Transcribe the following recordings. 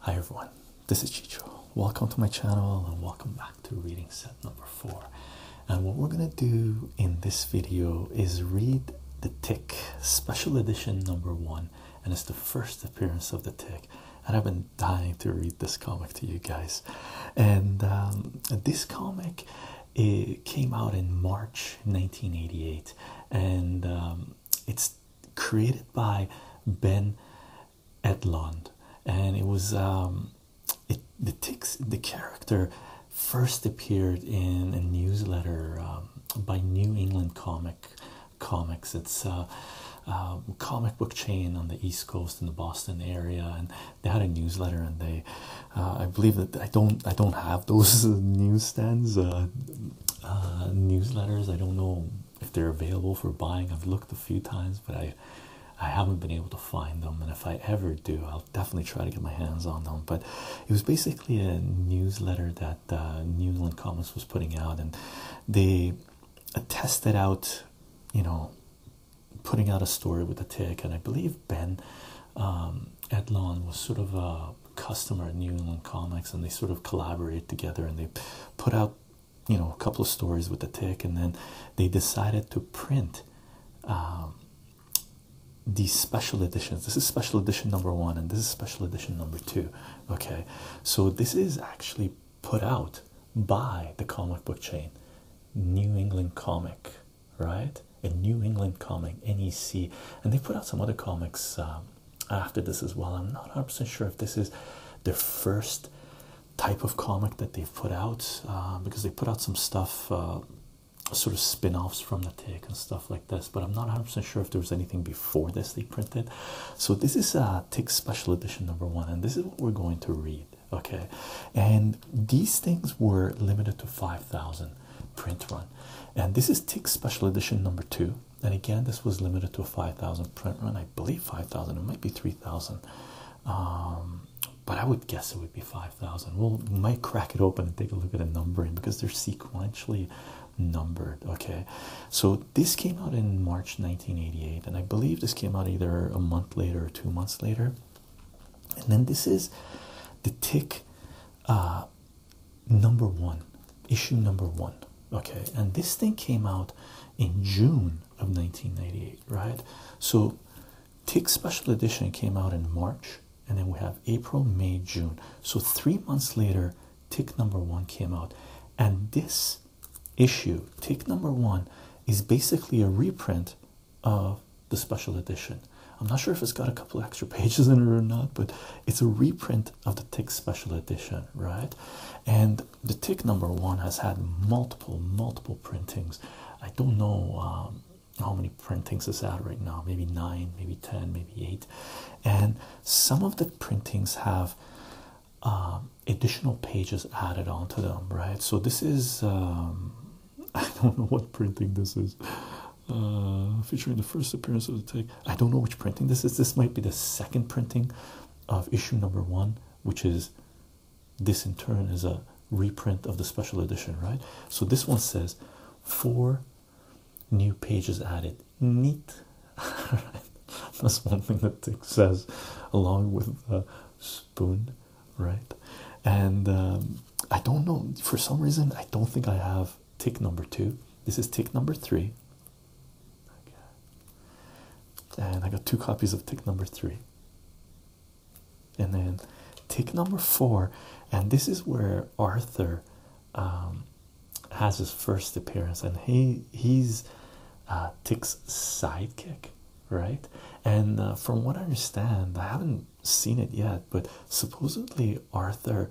Hi everyone, this is Chicho. Welcome to my channel and welcome back to reading set number four. And what we're gonna do in this video is read The Tick, special edition number one, and it's the first appearance of The Tick. And I've been dying to read this comic to you guys. And um, this comic came out in March 1988, and um, it's created by Ben Edlund, and it was um, it the ticks the character first appeared in a newsletter um, by New England Comic Comics. It's a, uh, uh, comic book chain on the East Coast in the Boston area, and they had a newsletter, and they uh, I believe that I don't I don't have those newsstands. newsletters. I don't know if they're available for buying. I've looked a few times, but I I haven't been able to find them, and if I ever do, I'll definitely try to get my hands on them. But it was basically a newsletter that Newland uh, New Comics was putting out, and they tested out, you know, putting out a story with a tick, and I believe Ben um, Edlon was sort of a customer at New England Comics, and they sort of collaborate together, and they put out, you know, a couple of stories with the Tick, and then they decided to print um, these special editions. This is special edition number one, and this is special edition number two. Okay, so this is actually put out by the comic book chain, New England Comic, right? A New England comic, NEC, and they put out some other comics. Um, after this as well. I'm not 100 sure if this is the first type of comic that they've put out uh, because they put out some stuff, uh, sort of spin offs from the tick and stuff like this. But I'm not 100 sure if there was anything before this they printed. So, this is uh, tick special edition number one, and this is what we're going to read. Okay, and these things were limited to 5,000 print run, and this is tick special edition number two and again this was limited to a 5000 print run i believe 5000 it might be 3000 um, but i would guess it would be 5000 we'll might crack it open and take a look at the numbering because they're sequentially numbered okay so this came out in march 1988 and i believe this came out either a month later or two months later and then this is the tick uh, number one, issue number one. Okay, and this thing came out in June of 1998, right? So, Tick Special Edition came out in March, and then we have April, May, June. So, three months later, Tick number one came out, and this issue, Tick number one, is basically a reprint of the special edition. I'm not sure if it's got a couple extra pages in it or not, but it's a reprint of the tick special edition, right? And the tick number one has had multiple, multiple printings. I don't know um, how many printings is at right now, maybe nine, maybe ten, maybe eight. And some of the printings have um, additional pages added onto them, right? So this is, um, I don't know what printing this is. Uh, featuring the first appearance of the tick. I don't know which printing this is. This might be the second printing of issue number one, which is this in turn is a reprint of the special edition, right? So this one says four new pages added. Neat. That's one thing that Tick says, along with a spoon, right? And um, I don't know for some reason, I don't think I have tick number two. This is tick number three. And I got two copies of tick number three. And then tick number four, and this is where Arthur um, has his first appearance, and he he's uh, Tick's sidekick, right? And uh, from what I understand, I haven't seen it yet, but supposedly Arthur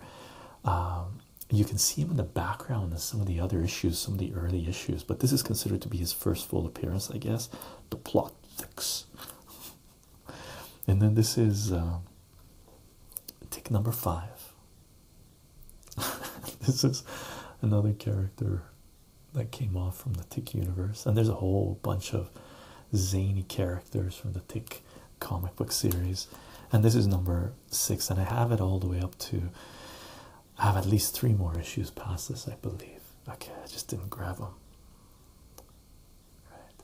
um, you can see him in the background in some of the other issues, some of the early issues, but this is considered to be his first full appearance, I guess. The plot fix. And then this is uh, tick number five. this is another character that came off from the Tick universe, and there's a whole bunch of zany characters from the Tick comic book series. And this is number six, and I have it all the way up to. I have at least three more issues past this, I believe. Okay, I just didn't grab them. Right,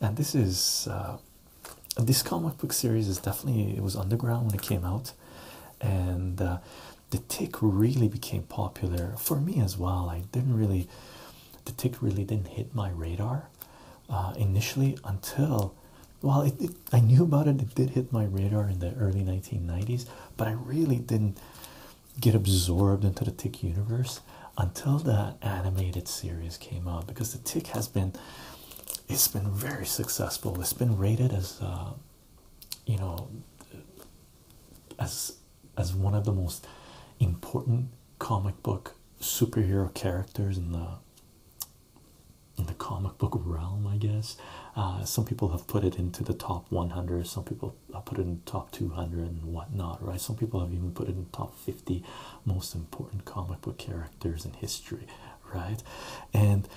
and this is uh, this comic book series is definitely it was underground when it came out, and uh, the tick really became popular for me as well. I didn't really, the tick really didn't hit my radar uh, initially until well, I knew about it. It did hit my radar in the early 1990s, but I really didn't get absorbed into the Tick universe until that animated series came out. Because the Tick has been, it's been very successful. It's been rated as, uh, you know, as as one of the most important comic book superhero characters in the in the comic book realm, I guess. Uh, some people have put it into the top 100, some people put it in the top 200 and whatnot, right? Some people have even put it in the top 50 most important comic book characters in history, right? And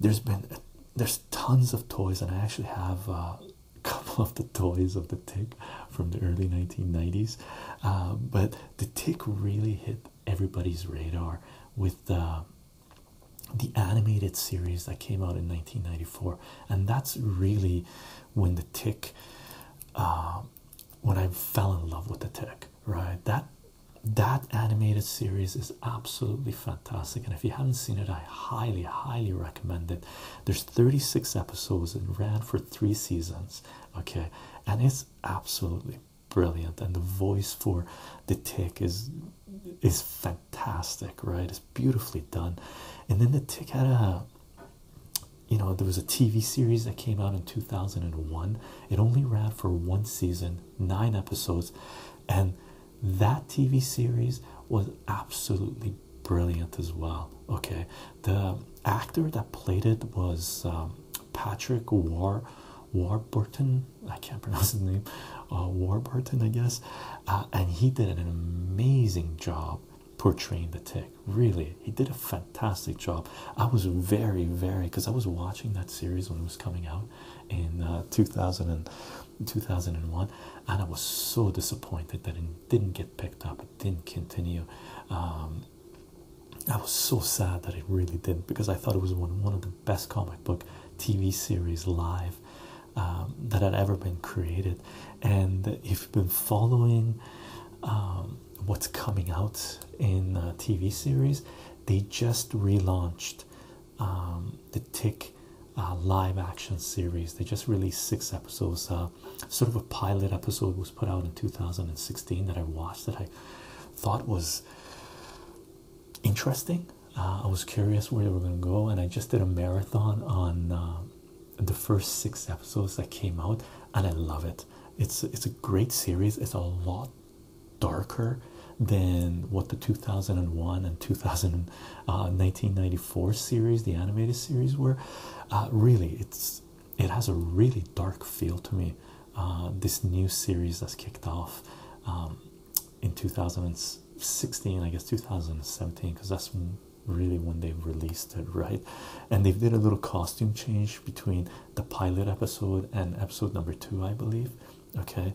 there's been there's tons of toys, and I actually have. Uh, a couple of the toys of the tick from the early 1990s uh, but the tick really hit everybody's radar with the the animated series that came out in 1994 and that's really when the tick uh, when i fell in love with the tick right that that animated series is absolutely fantastic and if you haven't seen it i highly highly recommend it there's 36 episodes and ran for three seasons okay and it's absolutely brilliant and the voice for the tick is is fantastic right it's beautifully done and then the tick had a you know there was a tv series that came out in 2001 it only ran for one season nine episodes and that tv series was absolutely brilliant as well okay the actor that played it was um, patrick war Warburton, I can't pronounce his name, uh, Warburton, I guess, uh, and he did an amazing job portraying the tick. Really, he did a fantastic job. I was very, very because I was watching that series when it was coming out in uh, 2000 and 2001, and I was so disappointed that it didn't get picked up, it didn't continue. Um, I was so sad that it really didn't because I thought it was one of the best comic book TV series live um, that had ever been created. And if you've been following um, what's coming out in uh, TV series, they just relaunched um, the Tick uh, live action series. They just released six episodes. Uh, sort of a pilot episode was put out in 2016 that I watched that I thought was interesting. Uh, I was curious where they were going to go, and I just did a marathon on uh, the first six episodes that came out, and I love it. It's it's a great series. It's a lot darker than what the 2001 and 2000 1994 uh, series, the animated series, were. really, it's it has a really dark feel to me. this new series that's kicked off. Um, in 2016 i guess 2017 because that's really when they released it right and they did a little costume change between the pilot episode and episode number two i believe okay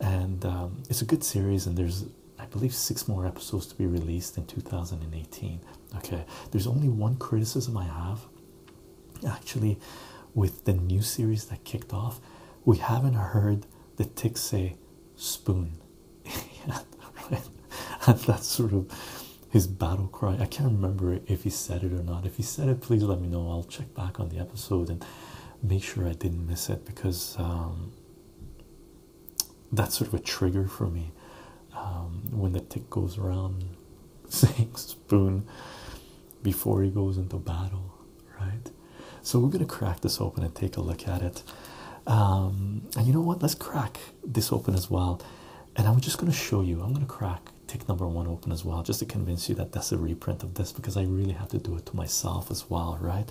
and um, it's a good series and there's i believe six more episodes to be released in 2018 okay there's only one criticism i have actually with the new series that kicked off we haven't heard the tick say spoon and that's sort of his battle cry i can't remember if he said it or not if he said it please let me know i'll check back on the episode and make sure i didn't miss it because um, that's sort of a trigger for me um, when the tick goes around saying spoon before he goes into battle, right? So we're gonna crack this open and take a look at it. Um, and you know what? Let's crack this open as well. And I'm just gonna show you. I'm gonna crack tick number one open as well, just to convince you that that's a reprint of this because I really have to do it to myself as well, right?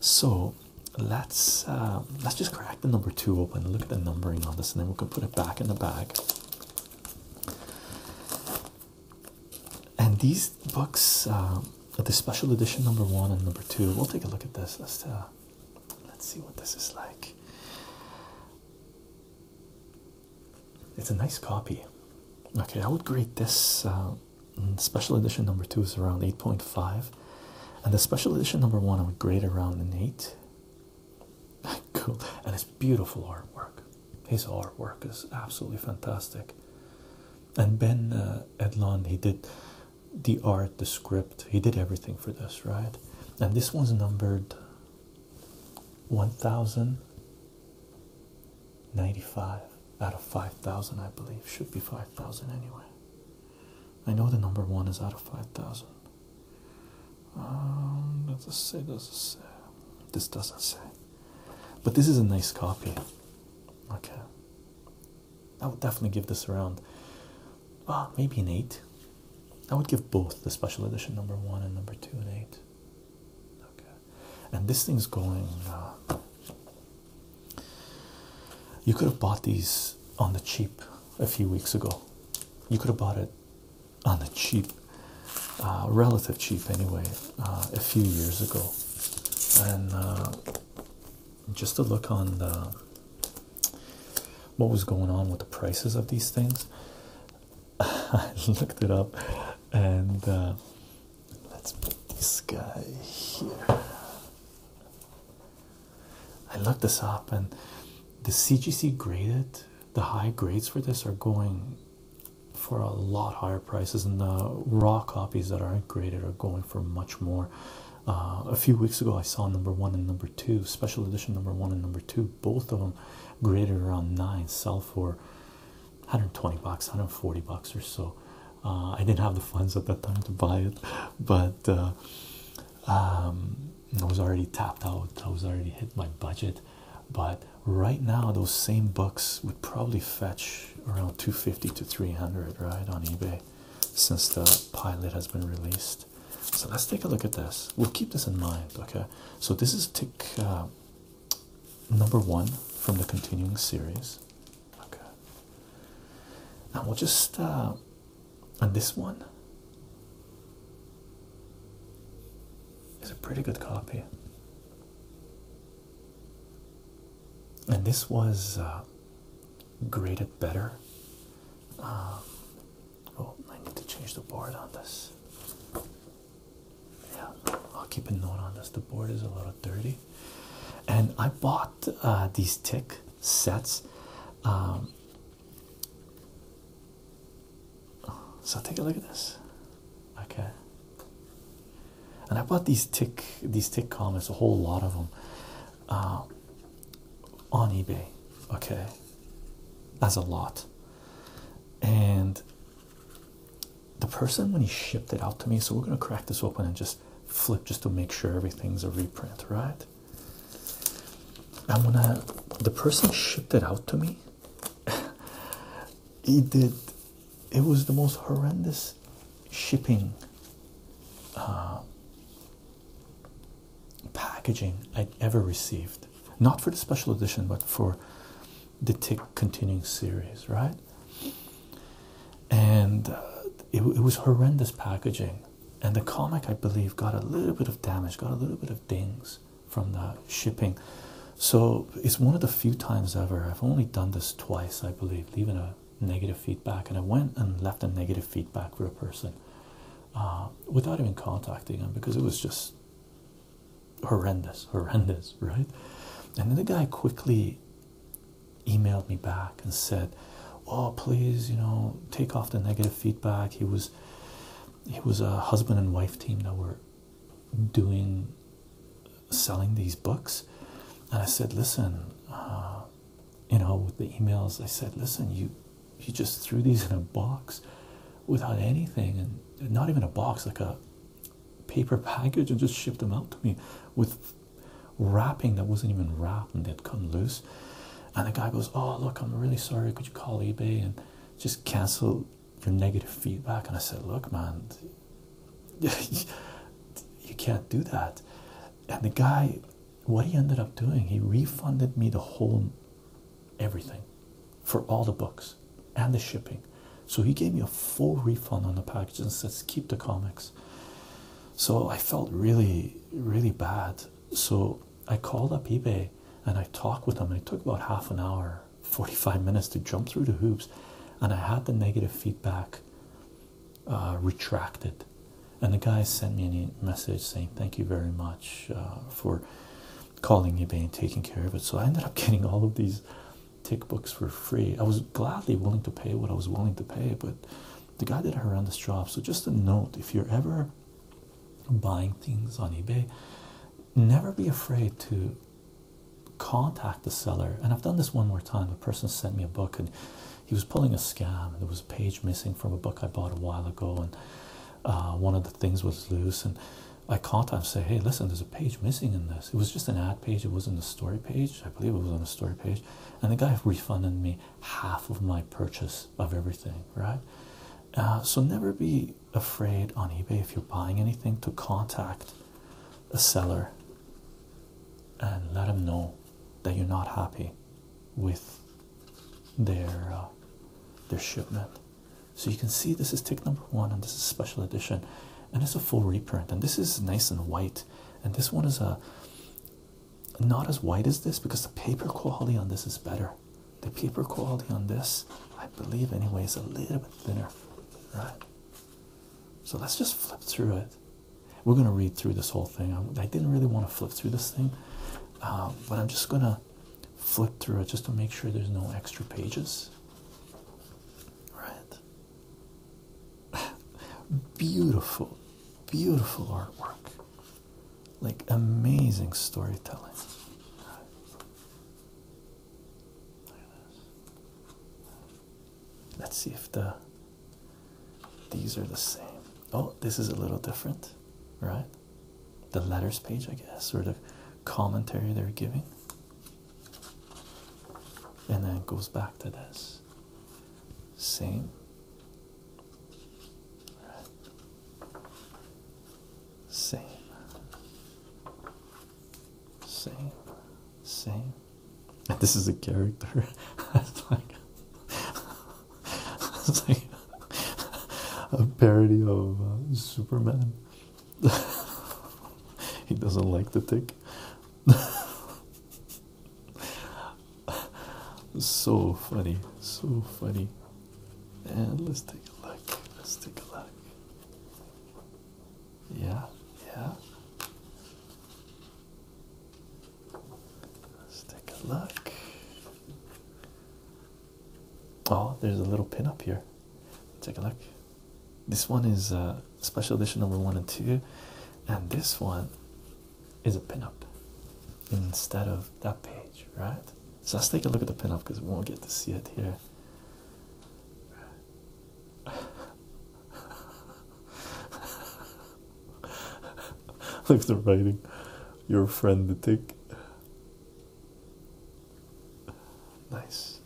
So let's um, let's just crack the number two open. Look at the numbering on this, and then we can put it back in the bag and these books uh, the special edition number one and number two we'll take a look at this let's let's see what this is like it's a nice copy okay i would grade this uh, mm, special edition number two is around 8.5 and the special edition number one i would grade around an 8 cool and it's beautiful artwork his artwork is absolutely fantastic. And Ben uh, Edlund, he did the art, the script, he did everything for this, right? And this one's numbered 1095 out of 5000, I believe. Should be 5000 anyway. I know the number one is out of 5000. Um, does it say? Does it say? This doesn't say. But this is a nice copy. Okay. I would definitely give this around well, uh, maybe an eight. I would give both the special edition number one and number two an eight. Okay. And this thing's going uh, you could have bought these on the cheap a few weeks ago. You could have bought it on the cheap, uh, relative cheap anyway, a few years ago and uh, just to look on the what was going on with the prices of these things I looked it up and uh, let's put this guy here I looked this up and the CGC graded the high grades for this are going for a lot higher prices, and the raw copies that aren't graded are going for much more. Uh, a few weeks ago, I saw number one and number two, special edition number one and number two, both of them graded around nine, sell for 120 bucks, 140 bucks or so. Uh, I didn't have the funds at that time to buy it, but uh, um, I was already tapped out, I was already hit my budget. But right now those same books would probably fetch around 250 to 300 right on ebay since the pilot has been released so let's take a look at this we'll keep this in mind okay so this is tick uh, number one from the continuing series okay and we'll just uh, and this one is a pretty good copy and this was uh, graded better. Um, oh, I need to change the board on this. Yeah, I'll keep a note on this. The board is a little dirty, and I bought uh, these tick sets. Um, so take a look at this okay and i bought these tick these tick comics a whole lot of them uh, on ebay okay as a lot and the person when he shipped it out to me so we're going to crack this open and just flip just to make sure everything's a reprint right I'm gonna the person shipped it out to me he did it was the most horrendous shipping uh, packaging I'd ever received. Not for the special edition, but for the Tick continuing series, right? And uh, it, it was horrendous packaging. And the comic, I believe, got a little bit of damage, got a little bit of dings from the shipping. So it's one of the few times ever. I've only done this twice, I believe leave, leaving a negative feedback. And I went and left a negative feedback for a person uh, without even contacting him because it was just horrendous, horrendous, right? And then the guy quickly emailed me back and said, "Oh, please, you know, take off the negative feedback." He was, he was a husband and wife team that were doing selling these books and i said listen uh, you know with the emails i said listen you you just threw these in a box without anything and not even a box like a paper package and just shipped them out to me with wrapping that wasn't even wrapped and they'd come loose and the guy goes oh look i'm really sorry could you call ebay and just cancel your negative feedback and i said look man you can't do that. And the guy, what he ended up doing, he refunded me the whole everything for all the books and the shipping. So he gave me a full refund on the package and says, Keep the comics. So I felt really, really bad. So I called up eBay and I talked with them. It took about half an hour, 45 minutes to jump through the hoops. And I had the negative feedback uh, retracted. And the guy sent me a message saying, Thank you very much uh, for calling eBay and taking care of it. So I ended up getting all of these tick books for free. I was gladly willing to pay what I was willing to pay, but the guy did a horrendous job. So, just a note if you're ever buying things on eBay, never be afraid to contact the seller and i've done this one more time a person sent me a book and he was pulling a scam there was a page missing from a book i bought a while ago and uh, one of the things was loose and i contact and said, hey listen there's a page missing in this it was just an ad page it wasn't a story page i believe it was on a story page and the guy refunded me half of my purchase of everything right uh, so never be afraid on ebay if you're buying anything to contact the seller and let them know that you're not happy with their uh, their shipment. So you can see this is tick number one, and this is special edition, and it's a full reprint. And this is nice and white, and this one is a uh, not as white as this because the paper quality on this is better. The paper quality on this, I believe, anyway, is a little bit thinner, right? So let's just flip through it. We're going to read through this whole thing. I, didn't really want to flip through this thing, um, but I'm just going to flip through it just to make sure there's no extra pages. Right? beautiful, beautiful artwork. Like amazing storytelling. Right. Let's see if the these are the same. Oh, this is a little different, right? The letters page, I guess, sort of commentary they're giving. And then it goes back to this. Same. Right. Same. Same, same. this is a character. it's like, like a parody of uh, Superman. he doesn't like the tick. so funny, so funny. And let's take a look. Let's take a look. Yeah, yeah. Let's take a look. Oh, there's a little pin up here. Take a look. This one is uh, special edition number one and two, and this one is a pinup instead of that page, right? So let's take a look at the pinup because we won't get to see it here. Look at the writing. Your friend, the tick. Nice.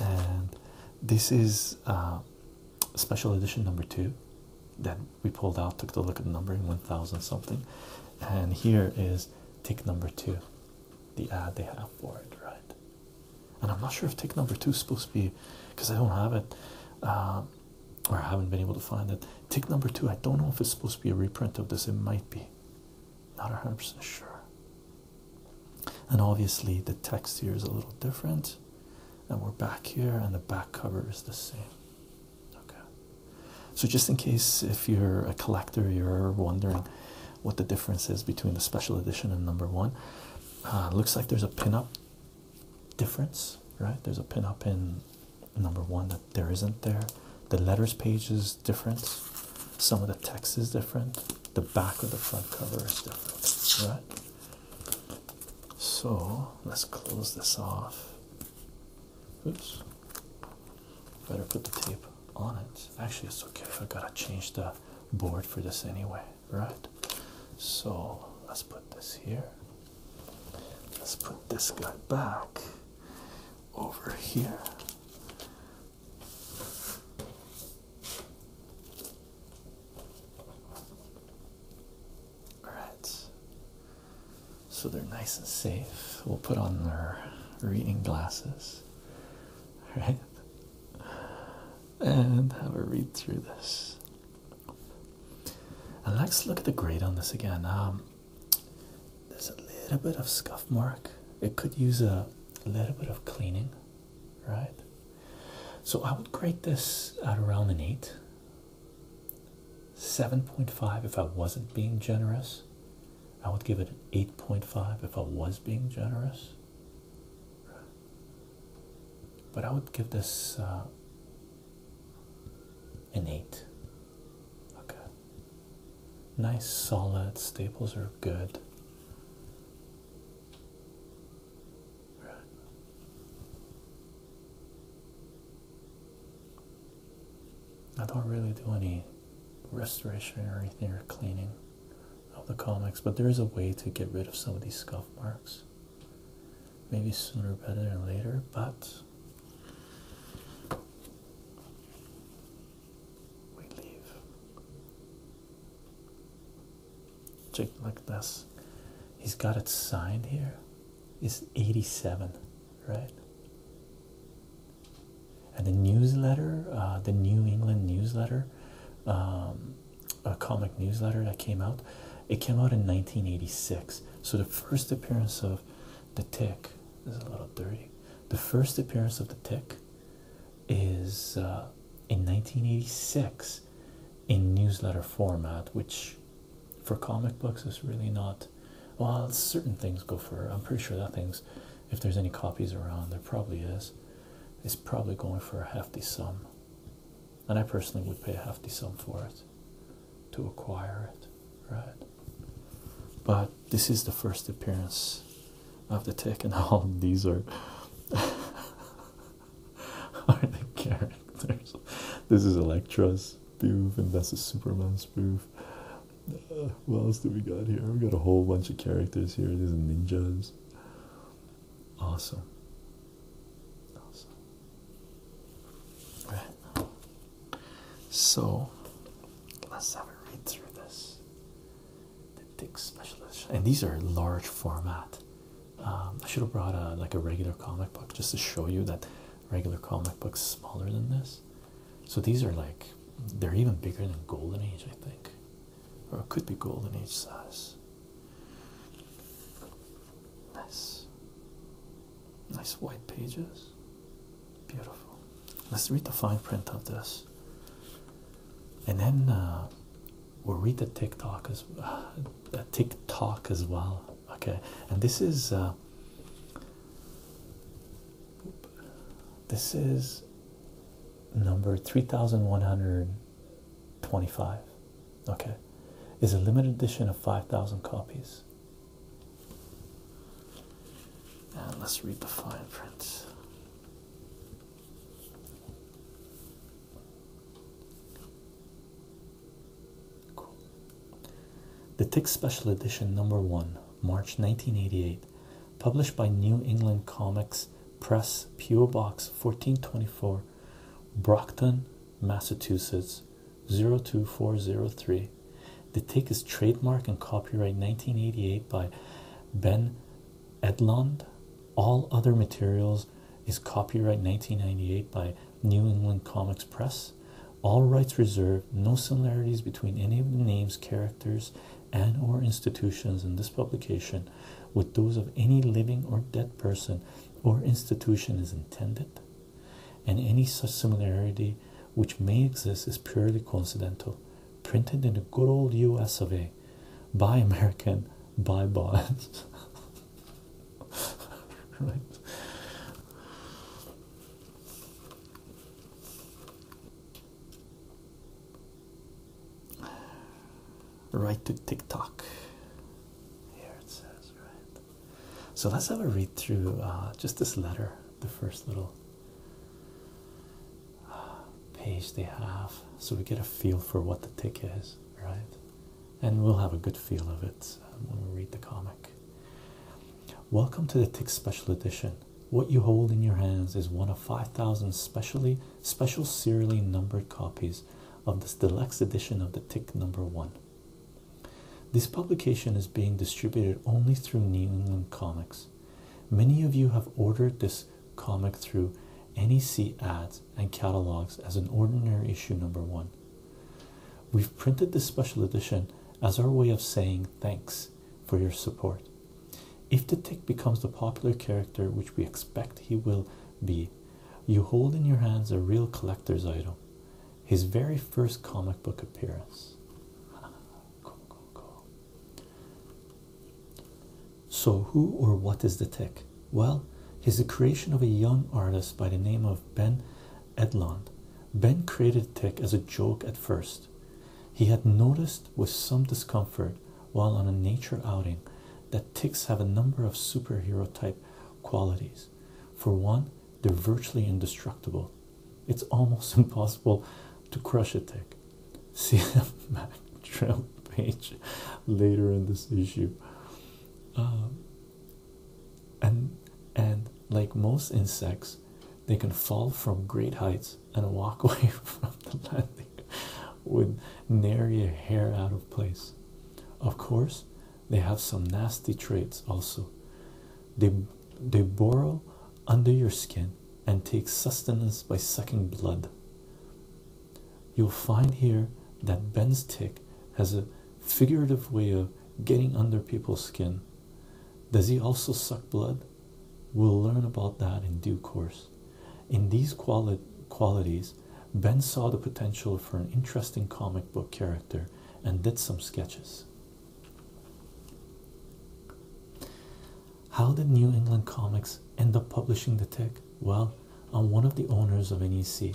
And this is uh, special edition number two Then we pulled out, took a look at the numbering 1000 something, and here is tick number two, the ad they have for it, right? And I'm not sure if tick number two is supposed to be because I don't have it, uh, or I haven't been able to find it. Tick number two, I don't know if it's supposed to be a reprint of this, it might be not 100% sure. And obviously, the text here is a little different, and we're back here, and the back cover is the same. Okay, so just in case if you're a collector, you're wondering what the difference is between the special edition and number one, uh, looks like there's a pinup difference, right? There's a pinup in number one that there isn't there. The letters page is different, some of the text is different, the back of the front cover is different, right? So let's close this off. Oops. Better put the tape on it. Actually, it's okay I gotta change the board for this anyway, right? So let's put this here. Let's put this guy back over here. All right so they're nice and safe. We'll put on our reading glasses, right? And have a read through this. And let's look at the grade on this again. Um, there's a little bit of scuff mark. It could use a little bit of cleaning, right? So I would grade this at around an eight. 7.5 if I wasn't being generous. I would give it an 8.5 if I was being generous. But I would give this uh, an 8. Okay. Nice, solid. Staples are good. Right. I don't really do any restoration or anything or cleaning of the comics, but there is a way to get rid of some of these scuff marks. Maybe sooner better than later, but we leave. Check like this. He's got it signed here. It's 87 right? And the newsletter, uh, the New England newsletter, um, a comic newsletter that came out, it came out in 1986. So the first appearance of the tick this is a little dirty. The first appearance of the tick is uh, in 1986 in newsletter format, which for comic books is really not well, certain things go for. I'm pretty sure that thing's, if there's any copies around, there probably is. It's probably going for a hefty sum, and I personally would pay a hefty sum for it to acquire it, right? But this is the first appearance of the tick, and all these are are the characters. This is Elektra's proof, and that's a Superman spoof what else do we got here? We've got a whole bunch of characters here. These ninjas. Awesome. Awesome. Right. So let's have a read through this. The Specialist. And these are large format. Um, I should have brought a like a regular comic book just to show you that regular comic book's smaller than this. So these are like they're even bigger than golden age, I think, or it could be golden age size. Nice, nice white pages, beautiful. Let's read the fine print of this, and then uh, we'll read the TikTok as the TikTok as well. Okay, and this is. Uh, this is number 3125. Okay, is a limited edition of 5,000 copies. And let's read the fine print. The Tick Special Edition number one March 1988, published by New England Comics Press, P.O. Box 1424, Brockton, Massachusetts 02403. The take is trademark and copyright 1988 by Ben Edlund. All other materials is copyright 1998 by New England Comics Press all rights reserved no similarities between any of the names characters and or institutions in this publication with those of any living or dead person or institution is intended and any such similarity which may exist is purely coincidental printed in the good old us of a by american by bonds right Right to TikTok. Here it says, right? So let's have a read through uh, just this letter, the first little uh, page they have, so we get a feel for what the tick is, right? And we'll have a good feel of it um, when we read the comic. Welcome to the Tick Special Edition. What you hold in your hands is one of 5,000 specially special serially numbered copies of this deluxe edition of the Tick Number One. This publication is being distributed only through New England Comics. Many of you have ordered this comic through any sea ads and catalogs as an ordinary issue number one. We've printed this special edition as our way of saying thanks for your support. If the tick becomes the popular character which we expect he will be, you hold in your hands a real collector's item. His very first comic book appearance. So, who or what is the tick? Well, he's the creation of a young artist by the name of Ben Edlund. Ben created tick as a joke at first, he had noticed with some discomfort while on a nature outing that ticks have a number of superhero type qualities. For one, they're virtually indestructible. It's almost impossible to crush a tick. See the Mac trail page later in this issue. Um, and and like most insects, they can fall from great heights and walk away from the landing with nary a hair out of place. Of course, they have some nasty traits also. They, they burrow under your skin and take sustenance by sucking blood. You'll find here that Ben's tick has a figurative way of getting under people's skin. Does he also suck blood? We'll learn about that in due course. In these qualities, Ben saw the potential for an interesting comic book character and did some sketches. How did New England Comics end up publishing The Tick? Well, I'm one of the owners of NEC,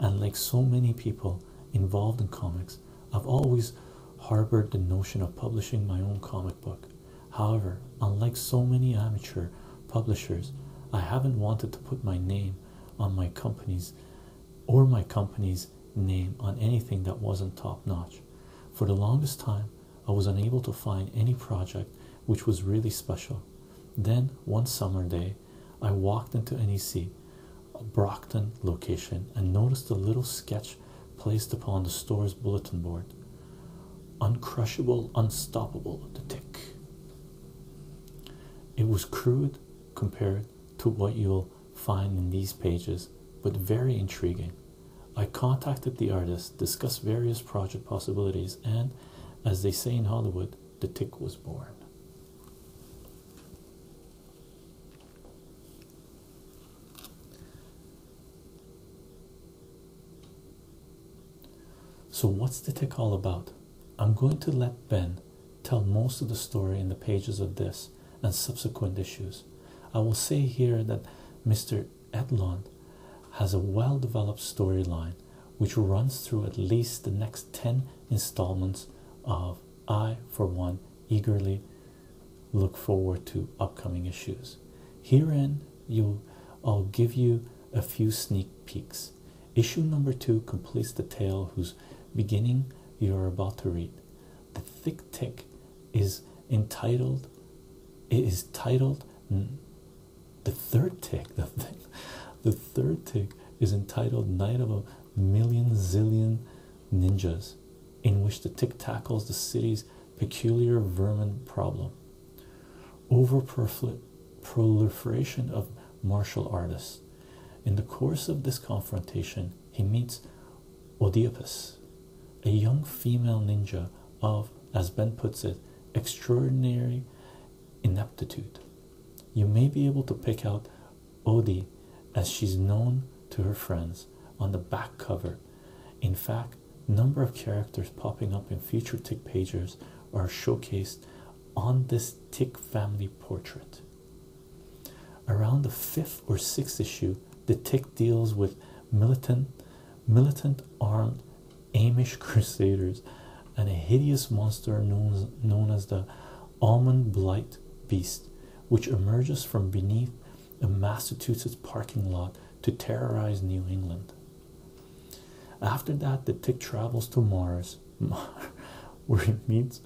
and like so many people involved in comics, I've always harbored the notion of publishing my own comic book. However, unlike so many amateur publishers, I haven't wanted to put my name on my company's or my company's name on anything that wasn't top notch. For the longest time, I was unable to find any project which was really special. Then, one summer day, I walked into NEC, a Brockton location, and noticed a little sketch placed upon the store's bulletin board. Uncrushable, unstoppable, the tick. It was crude compared to what you'll find in these pages, but very intriguing. I contacted the artist, discussed various project possibilities, and, as they say in Hollywood, the tick was born. So, what's the tick all about? I'm going to let Ben tell most of the story in the pages of this and subsequent issues. I will say here that Mr. Edlund has a well developed storyline which runs through at least the next 10 installments of I, for one, eagerly look forward to upcoming issues. Herein, you'll, I'll give you a few sneak peeks. Issue number two completes the tale whose beginning you're about to read. The thick tick is entitled. It is titled. The third tick. The third tick is entitled "Night of a Million Zillion Ninjas." in which the tick tackles the city's peculiar vermin problem. Overproliferation of martial artists. In the course of this confrontation, he meets Oedipus, a young female ninja of, as Ben puts it, extraordinary ineptitude. You may be able to pick out Odie as she's known to her friends on the back cover in fact, number of characters popping up in future tick pages are showcased on this tick family portrait. Around the fifth or sixth issue, the tick deals with militant militant armed Amish crusaders and a hideous monster known known as the almond blight beast, which emerges from beneath a Massachusetts parking lot to terrorize New England. After that, the tick travels to Mars, where it meets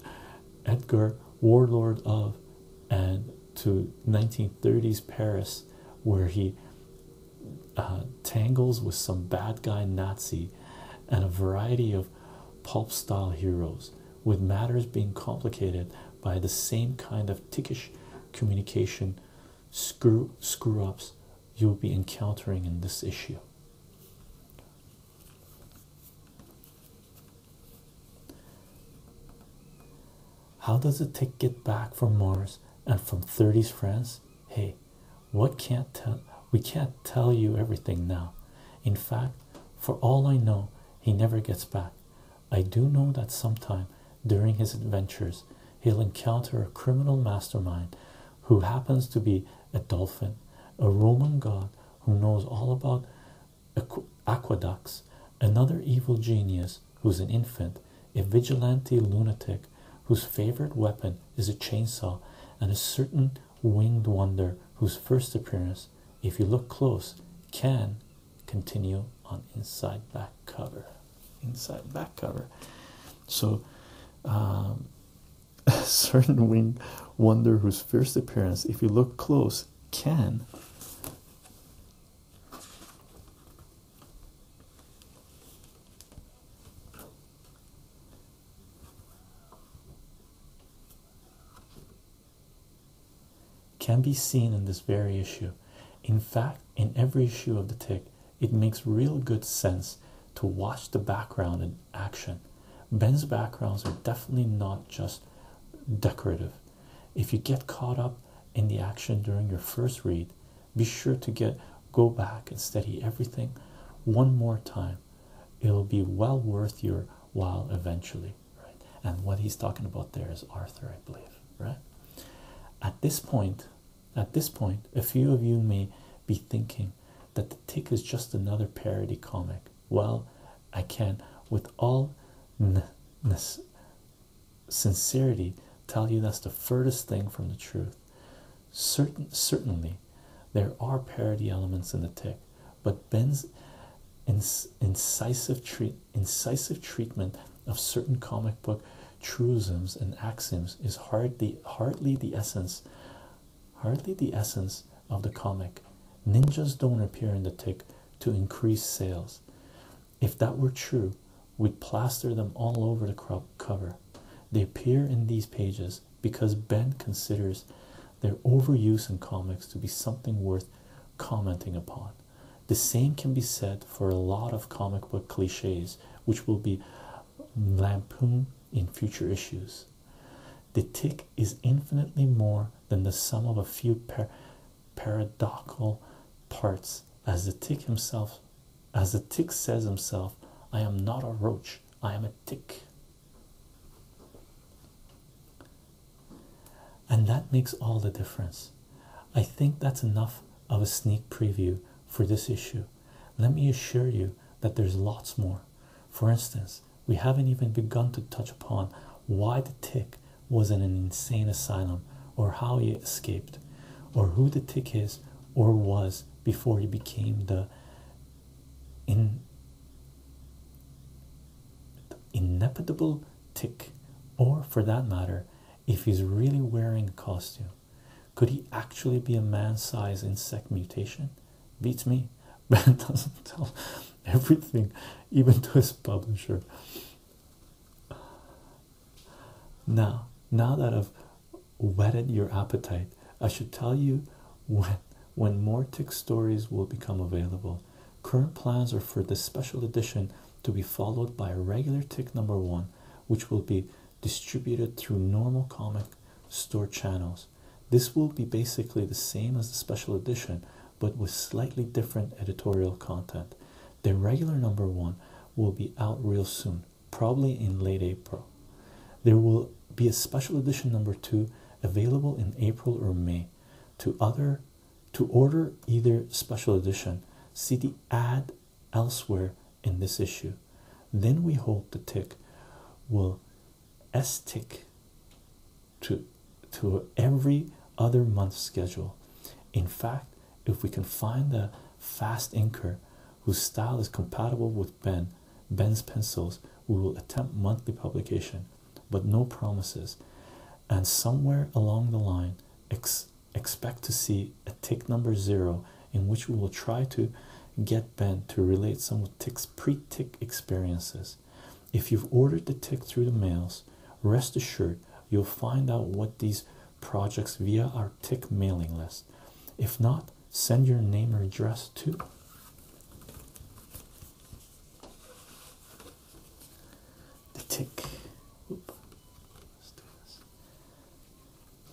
Edgar, warlord of, and to 1930s Paris, where he uh, tangles with some bad guy Nazi and a variety of pulp style heroes with matters being complicated by the same kind of tickish communication screw ups you'll be encountering in this issue. How does it take get back from Mars and from 30s friends? Hey, what can't tell we can't tell you everything now. In fact, for all I know, he never gets back. I do know that sometime during his adventures he'll encounter a criminal mastermind who happens to be a dolphin, a Roman god who knows all about aqueducts, another evil genius who's an infant, a vigilante lunatic whose favorite weapon is a chainsaw, and a certain winged wonder whose first appearance if you look close, can continue on inside back cover. Inside back cover. So, um, a certain winged wonder whose first appearance, if you look close, can can be seen in this very issue. In fact, in every issue of the tick, it makes real good sense to watch the background in action. Ben's backgrounds are definitely not just decorative. If you get caught up in the action during your first read, be sure to get go back and study everything one more time. It'll be well worth your while eventually right? And what he's talking about there is Arthur, I believe, right? At this point, at this point, a few of you may be thinking that the tick is just another parody comic. Well, I can, with all sincerity, tell you that's the furthest thing from the truth. Certain, certainly, there are parody elements in the tick, but Ben's incisive treat incisive treatment of certain comic book truisms and axioms is hardly hardly the essence hardly the essence of the comic ninjas don't appear in the tick to increase sales if that were true we'd plaster them all over the cover they appear in these pages because ben considers their overuse in comics to be something worth commenting upon the same can be said for a lot of comic book cliches, which will be lampooned in future issues. The tick is infinitely more than the sum of a few par paradoxical parts, as the tick himself, as the tick says himself, I am not a roach, I am a tick. And that makes all the difference. I think that's enough of a sneak preview for this issue. Let me assure you that there's lots more. For instance, we haven't even begun to touch upon why the tick was in an insane asylum or how he escaped or who the tick is or was before he became the in inevitable tick or for that matter if he's really wearing a costume. Could he actually be a man-sized insect mutation? Beats me. Ben doesn't tell everything, even to his publisher. Now, now that I've whetted your appetite, I should tell you when when more tick stories will become available. Current plans are for this special edition to be followed by a regular tick number one, which will be distributed through normal comic store channels. This will be basically the same as the special edition, but with slightly different editorial content. The regular number one will be out real soon, probably in late April. There will be a special edition number two available in April or May to other to order either special edition, see the ad elsewhere in this issue. Then we hold the tick will stick to to every other month schedule. In fact, if we can find a fast inker whose style is compatible with Ben Ben's pencils, we will attempt monthly publication, but no promises. And somewhere along the line, ex expect to see a tick number zero in which we will try to get Ben to relate some of Tick's pre-tick experiences. If you've ordered the tick through the mails, rest assured you'll find out what these projects via our tick mailing list. If not, send your name or address to the tick whoop, let's do this.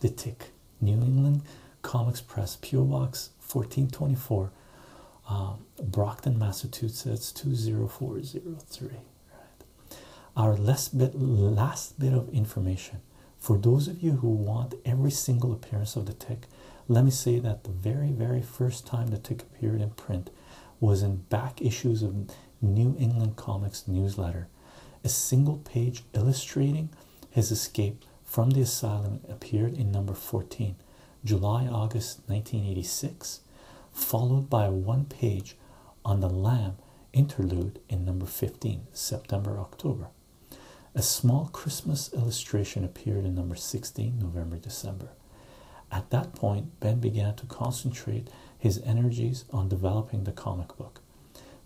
the tick new england comics press pure box 1424 um, brockton massachusetts 20403 our last bit last bit of information for those of you who want every single appearance of the tick let me say that the very very first time the tick appeared in print was in back issues of New England Comics newsletter, a single page illustrating his escape from the asylum appeared in number 14, July August 1986, followed by one page on the lamb interlude in number 15, September October. A small Christmas illustration appeared in number 16, November December. At that point, Ben began to concentrate his energies on developing the comic book.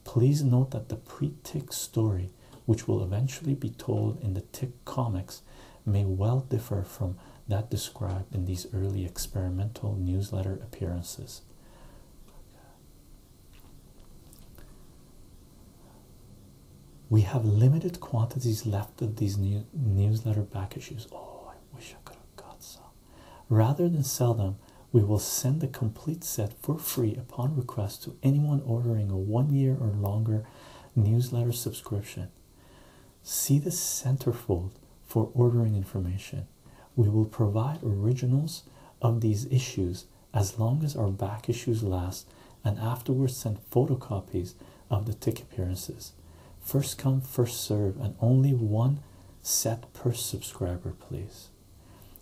Please note that the pre Tick story, which will eventually be told in the Tick comics, may well differ from that described in these early experimental newsletter appearances. We have limited quantities left of these newsletter back issues. Oh, I wish I could got some. Rather than sell them, we will send the complete set for free upon request to anyone ordering a one year or longer newsletter subscription. See the centerfold for ordering information. We will provide originals of these issues as long as our back issues last and afterwards send photocopies of the tick appearances. First come, first serve, and only one set per subscriber, please.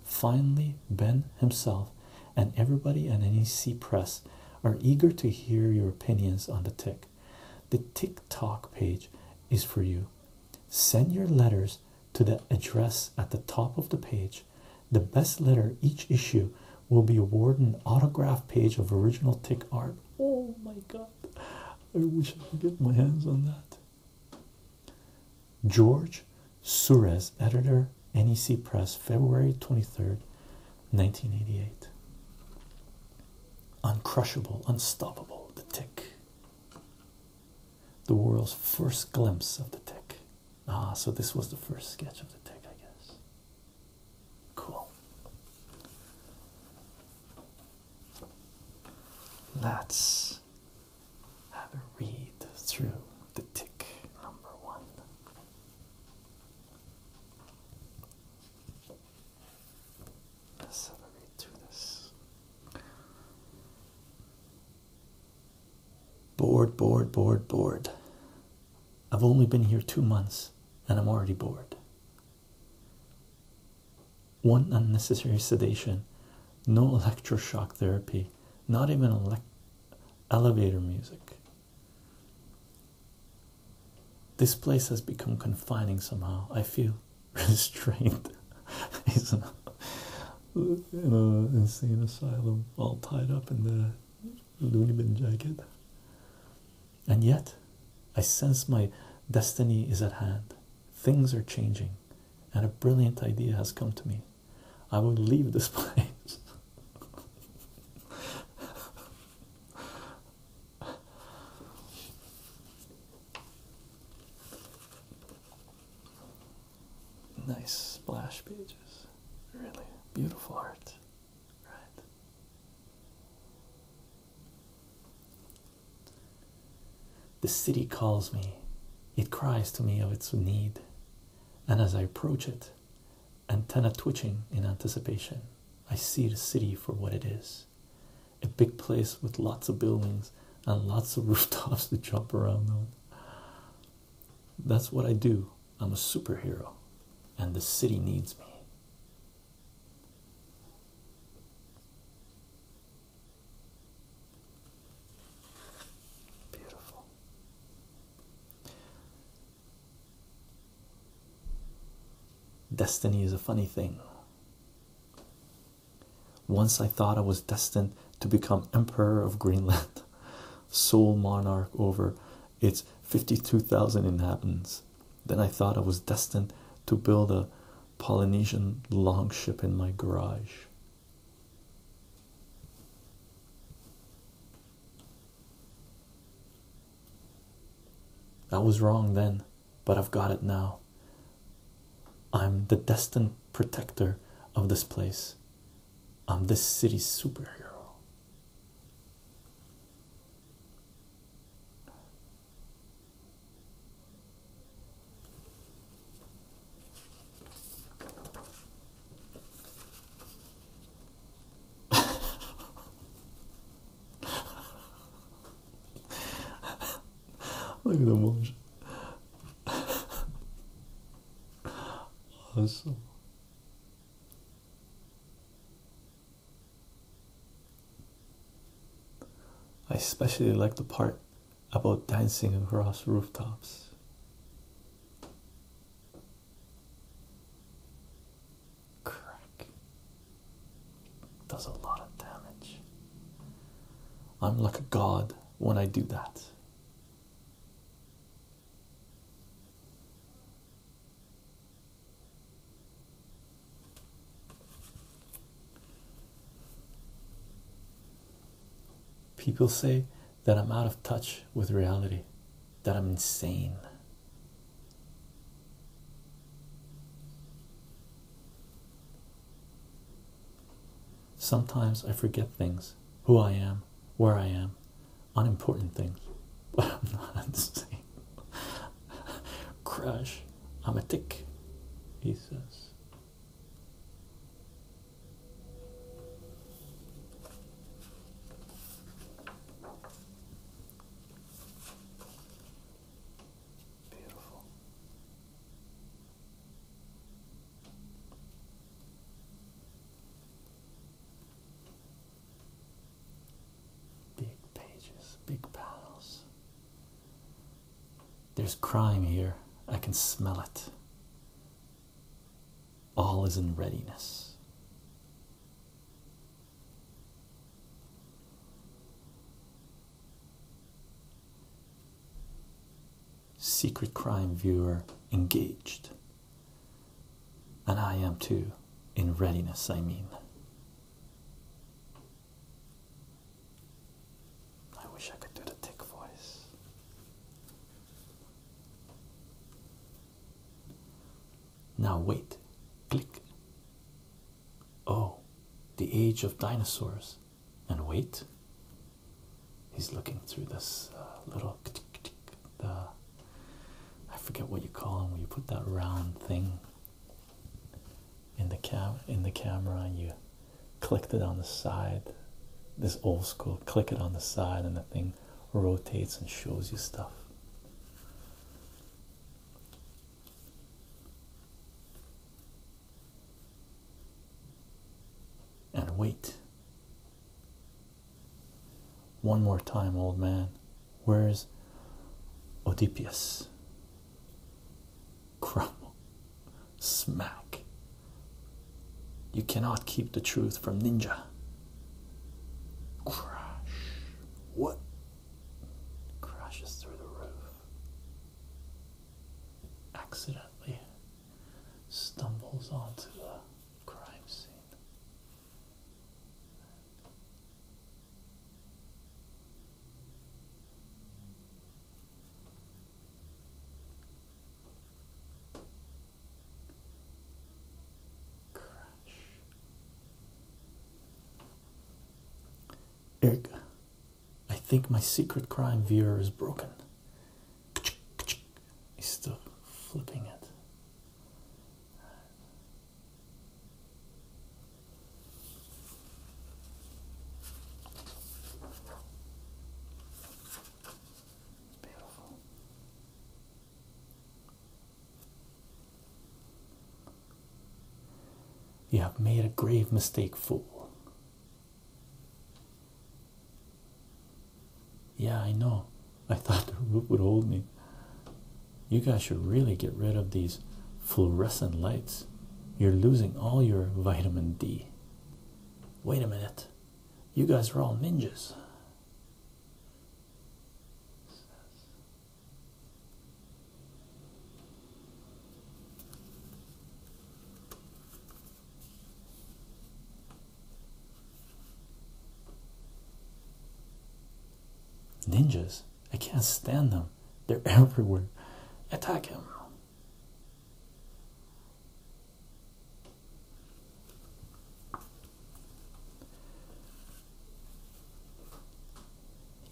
Finally, Ben himself and everybody at NEC Press are eager to hear your opinions on the tick. The Tick Talk page is for you. Send your letters to the address at the top of the page. The best letter each issue will be awarded an autograph page of original tick art. Oh my god. I wish I could get my hands on that. George Sures, editor, NEC Press, February 23rd, 1988. Uncrushable, unstoppable, the tick. The world's first glimpse of the tick. Ah, so this was the first sketch of the tick, I guess. Cool. Let's have a read through the tick number one. Let's have through this. Bored, bored, bored, bored. I've only been here two months and I'm already bored. One unnecessary sedation, no electroshock therapy, not even elevator music. This place has become confining somehow. I feel restrained. He's in an insane asylum, all tied up in the loony jacket. And yet, I sense my destiny is at hand. Things are changing, and a brilliant idea has come to me. I will leave this place. nice splash pages. Really beautiful art. Right. The city calls me, it cries to me of its need, and as I approach it, antenna twitching in anticipation, I see the city for what it is a big place with lots of buildings and lots of rooftops to jump around on. That's what I do. I'm a superhero, and the city needs me. Beautiful. Destiny is a funny thing. Once I thought I was destined to become Emperor of Greenland, sole monarch over its 52,000 inhabitants. Then I thought I was destined to build a Polynesian longship in my garage. I was wrong then, but I've got it now. I'm the destined protector of this place. I'm this city's superhero. Look at the emotion. awesome. I especially like the part about dancing across rooftops. Crack does a lot of damage. I'm like a god when I do that. People say that I'm out of touch with reality, that I'm insane. Sometimes I forget things, who I am, where I am, unimportant things. But I'm not insane. Crush, I'm a tick, he says. Beautiful. Big pages, big panels. There's crime here. I can smell it. All is in readiness. Secret crime viewer engaged. And I am too. In readiness, I mean. I wish I could do the tick voice. Now wait, click. Oh, the age of dinosaurs. And wait. He's looking through this uh, little. The, I forget what you call them when you put that round thing in the cam in the camera and you click it on the side this old school click it on the side and the thing rotates and shows you stuff and wait one more time old man where's Oedipus crumble. Smack. You cannot keep the truth from Ninja. Crash. What? Crashes through the roof. Accidentally stumbles onto the crime scene. Eric, I think my secret crime viewer is broken. He's still flipping it. You have made a grave mistake, fool. Yeah, I know. I thought the rope would hold me. You guys should really get rid of these fluorescent lights you're losing all your vitamin D. Wait a minute, you guys are all ninjas. Ninjas, I can't stand them. They're everywhere. Attack him.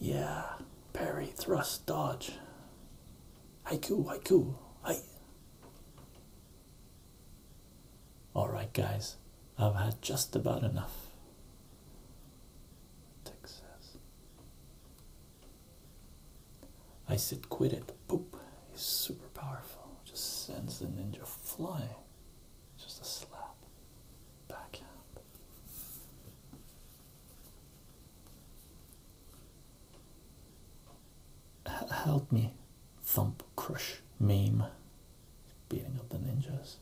Yeah, Perry, thrust, dodge. Haiku, haiku, hi. Alright, guys, I've had just about enough. Texas. I said, quit it. Boop. He's super powerful. Just sends the ninja flying. Just a slap. Backhand. help me. Thump, crush, maim. Beating up the ninjas.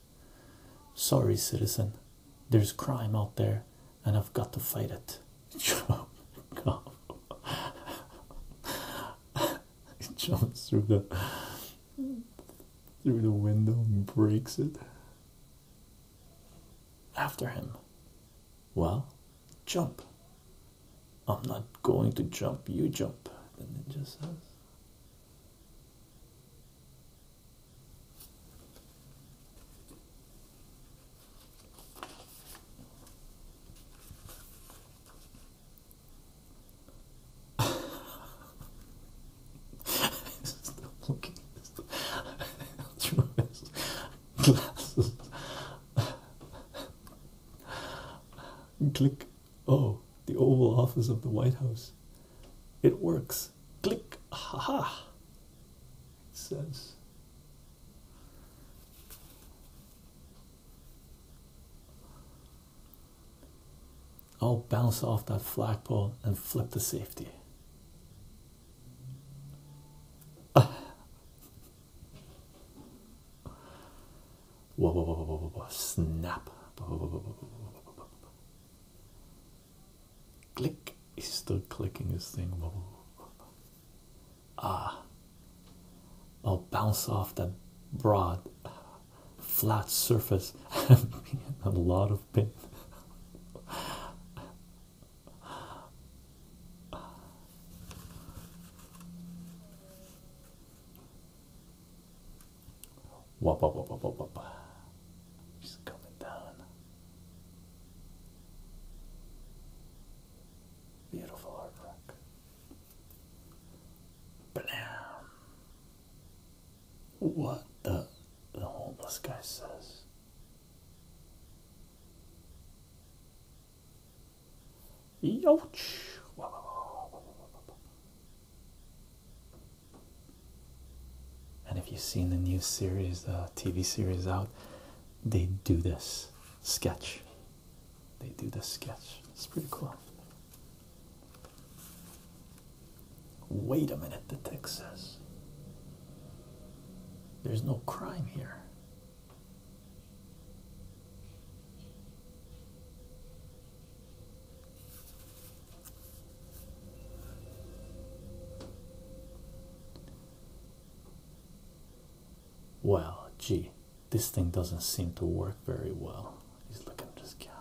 Sorry, citizen. There's crime out there, and I've got to fight it. Jump, jumps through the through the window and breaks it. After him. Well, jump. I'm not going to jump, you jump, the ninja says looking through his glasses. Click. Oh, the Oval Office of the White House. It works. Click. Ha ha. says. I'll oh, bounce off that flagpole and flip the safety. snap. Click. He's still clicking his thing. Ah, I'll oh, bounce off that broad, flat surface a lot of pain. Wop, She's coming down. Beautiful artwork. Blam! What the the homeless guy says. Ouch! And if you've seen the new series, the TV series out, they do this sketch. They do this sketch. It's pretty cool. Wait a minute, the text says. There's no crime here. Well, gee, this thing doesn't seem to work very well. He's looking at his camera.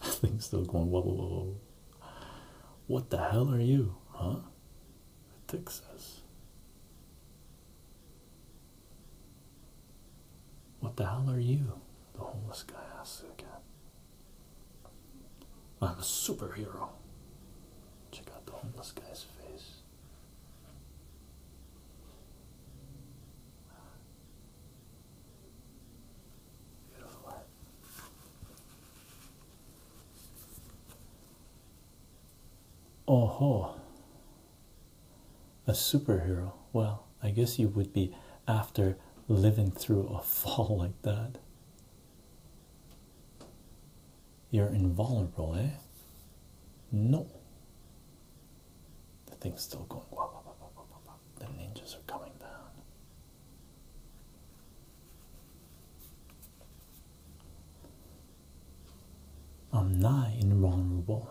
That thing's still going, whoa, whoa, whoa, whoa. What the hell are you, huh? Texas. What the hell are you? The homeless guy asks again. I'm a superhero. Check out the homeless guy's face. Beautiful Oh ho. A superhero. Well, I guess you would be after living through a fall like that. You're invulnerable, eh? No. The thing's still going. Wah, wah, wah, wah, wah, wah. The ninjas are coming down. I'm nigh invulnerable.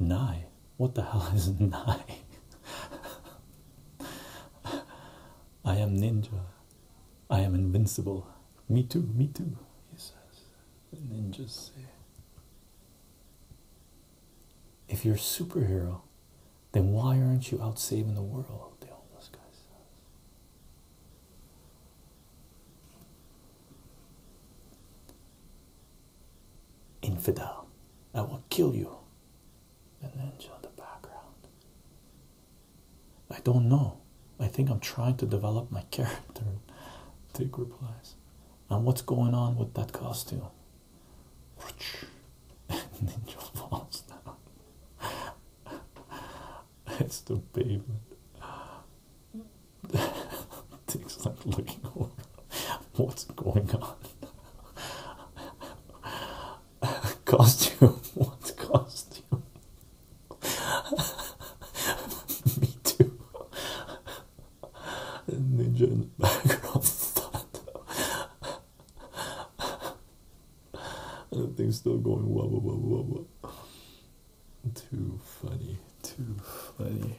Nigh? What the hell is nigh? I am ninja. I am invincible. Me too, me too, he says. The ninjas say. If you're a superhero, then why aren't you out saving the world? The homeless guy says. Infidel, I will kill you. The ninja in the background. I don't know. I think I'm trying to develop my character. Tig replies. And what's going on with that costume? Ninja falls down. it's the pavement. Tig's like looking What's going on? costume. What costume? Me too. Ninja the background. that thing's still going whoa whoa whoa whoa whoa. Too funny. Too funny.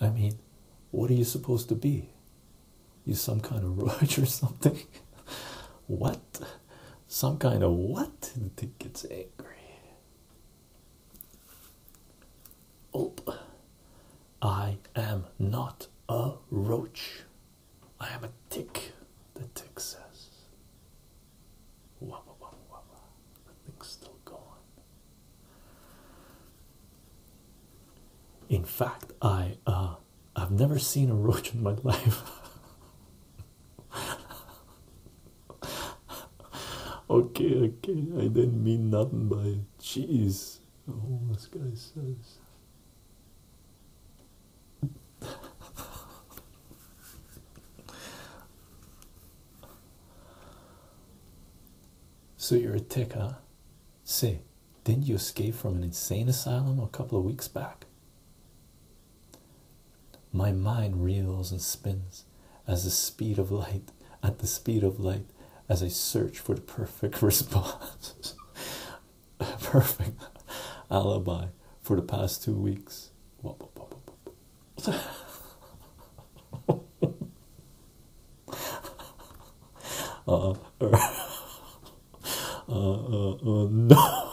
I mean, what are you supposed to be? You some kind of roach or something? what? Some kind of what? The thing gets angry. Oh, I am not a roach. I am a tick. The tick says, "Wah wah wah The thing's still going. In fact, I uh, I've never seen a roach in my life. okay, okay, I didn't mean nothing by it. Jeez, all oh, this guy says. So you're a tick, see? didn't you escape from an insane asylum a couple of weeks back? My mind reels and spins as the speed of light, at the speed of light, as I search for the perfect response. perfect alibi for the past two weeks uh, uh, uh, no.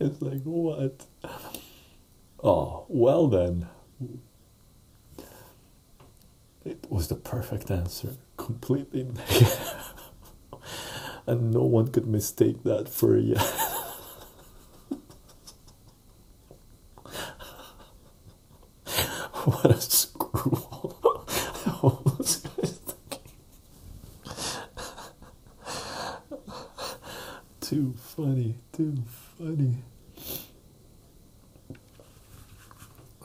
it's like what oh well then it was the perfect answer, completely negative, and no one could mistake that for a yes. what a screwball! too funny, too funny.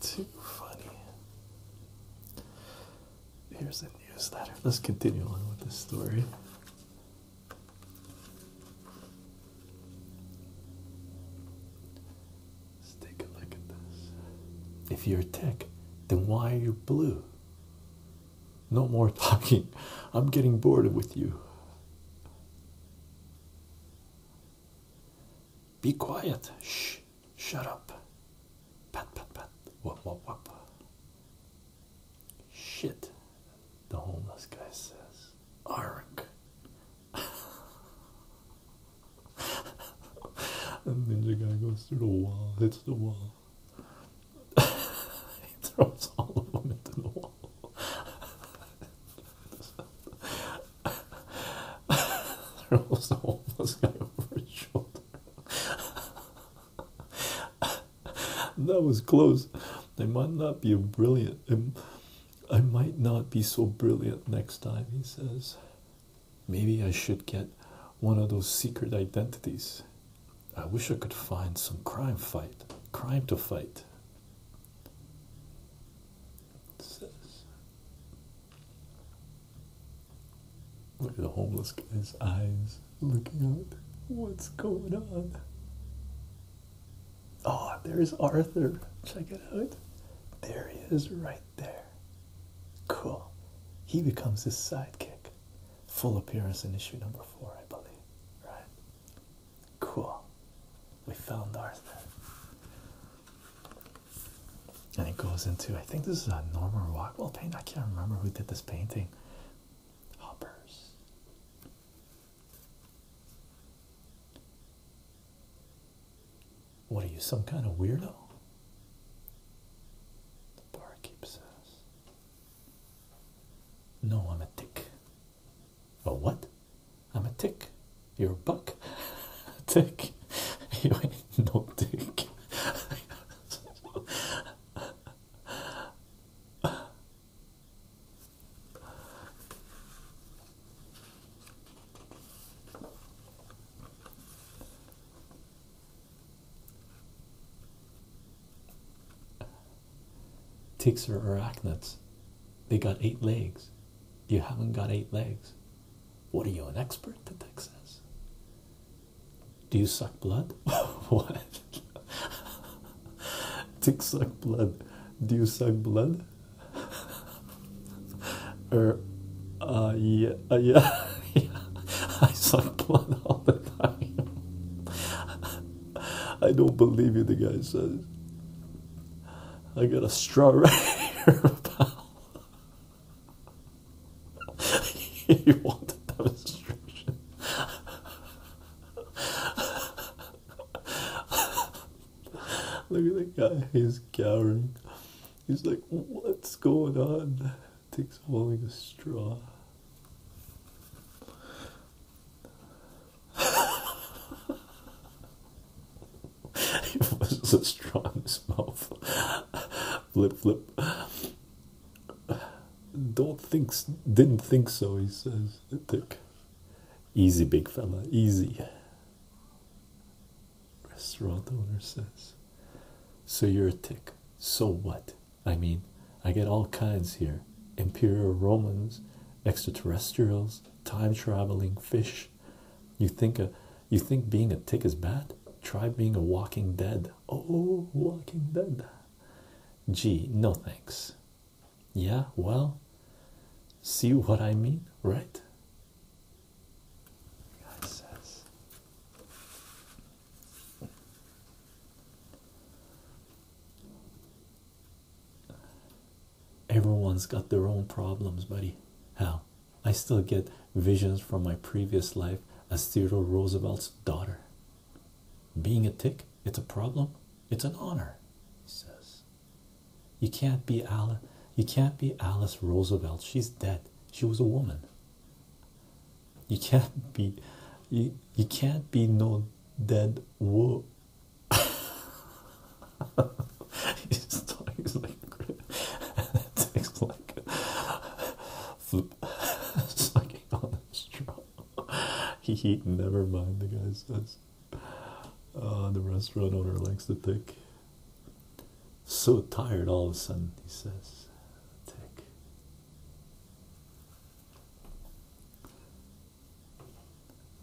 Too funny. Here's the newsletter. Let's continue on with this story. Let's take a look at this. If you're tech, then why are you blue? No more talking. I'm getting bored with you. Be quiet. Shh. Shut up. Pat, pat, pat. Whoop, whoop, whoop. Shit. The homeless guy says. Ark. and ninja guy goes through the wall, hits the wall. he throws all of them into the wall. there was a homeless guy over his shoulder. that was close. I might not be brilliant. I might not be so brilliant next time, he says. Maybe I should get one of those secret identities. I wish I could find some crime fight, crime to fight. Look at the homeless guy's eyes looking out. What's going on? Oh, there's Arthur. Check it out. There he is right there. Cool. He becomes his sidekick. Full appearance in issue number four, I believe. Right? Cool. We found ours And it goes into I think this is a normal wall painting. I can't remember who did this painting. Hoppers. What are you, some kind of weirdo? The barkeep says. No, I'm a dick. A what? I'm a tick. You're a buck. A tick. You ain't no tick. Ticks are arachnids. They got eight legs. You haven't got eight legs. What are you, an expert? The dick says. Do you suck blood? what? Tick suck blood. Do you suck blood? or, er, uh, yeah, uh, yeah, yeah. I suck blood all the time. I don't believe you, the guy says. I got a straw right here, pal. you want a demonstration? Look at the guy, he's cowering. He's like, what's going on? Takes holding a straw. He was so strong in his mouth. flip, flip. Don't think, didn't think so. He says, "Tick, Easy, big fella, easy. Restaurant owner says, So you're a tick. So what? I mean, I get all kinds here Imperial Romans, extraterrestrials, time traveling fish. You think a, you think being a tick is bad? Try being a walking dead. Oh, walking dead. Gee, no thanks. Yeah, well, see what I mean, right? Everyone's got their own problems, buddy. Hell, I still get visions from my previous life as Theodore Roosevelt's daughter. Being a tick, it's a problem, it's an honor, he says. You can't be Alice you can't be Alice Roosevelt. She's dead. She was a woman. You can't be you, you can't be no dead wo His tongue is like it tastes like flip sucking on a straw. He he never mind the guy says uh, the restaurant owner likes the take so tired all of a sudden he says take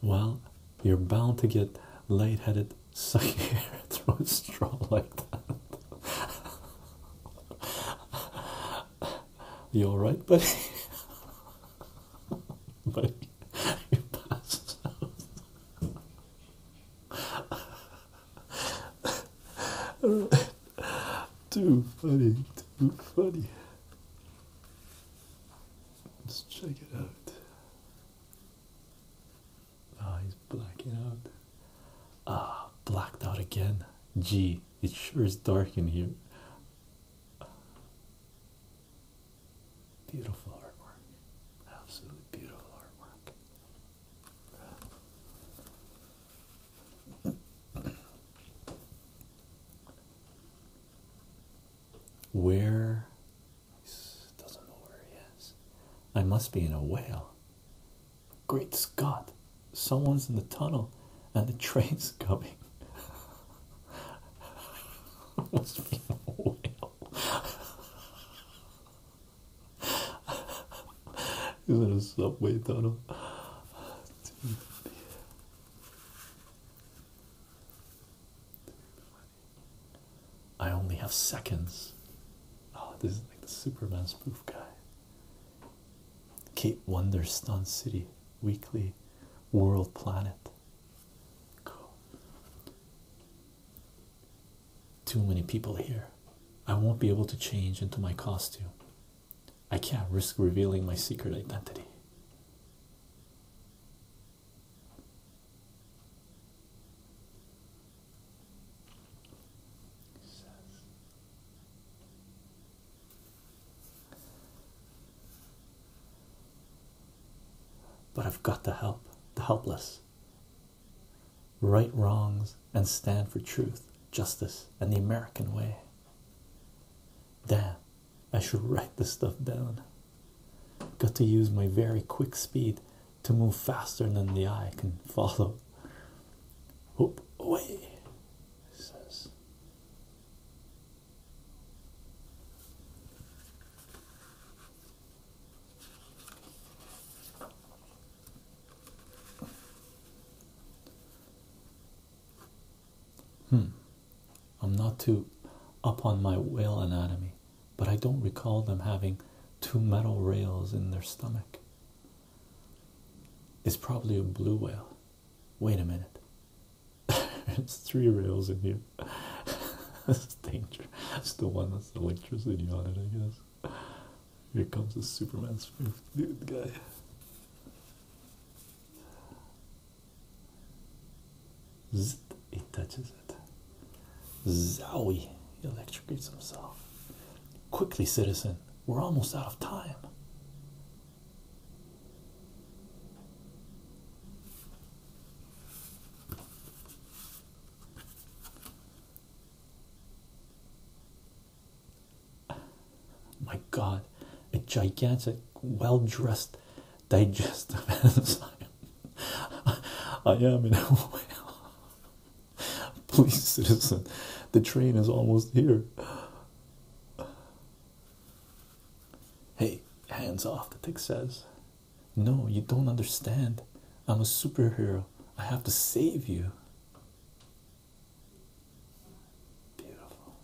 well, you're bound to get lightheaded, sucking air through a straw like that. you all right, buddy? buddy, you passed out. too funny, too funny. Let's check it out. Ah, he's blacking out. Ah, blacked out again. Gee, it sure is dark in here. Beautiful artwork. Absolutely beautiful artwork. Where doesn't know where he is. I must be in a whale. Great Scott! Someone's in the tunnel and the train's coming. must be a whale. Is in a subway tunnel? Dude. I only have seconds. Oh, this is like the Superman spoof guy. Kate Wonder, Stun City, Weekly, World Planet. Too many people here. I won't be able to change into my costume. I can't risk revealing my secret identity. But I've got to help the helpless, right wrongs, and stand for truth, justice, and the American way. Damn, I should write this stuff down. Got to use my very quick speed to move faster than the eye can follow. Whoop away, says. Hmm, I'm not too up on my whale anatomy, but I don't recall them having two metal rails in their stomach. It's probably a blue whale. Wait a minute. it's three rails in here. is danger. It's the one that's electricity on it, I guess. Here comes the Superman's fifth dude guy. Zzz, it touches it. Zowie! He electrocutes himself. Quickly, citizen, we're almost out of time. My God, a gigantic, well dressed, digestive enzyme. I am in a way. Please, citizen, the train is almost here. Hey, hands off, the tick says. No, you don't understand. I'm a superhero. I have to save you. Beautiful.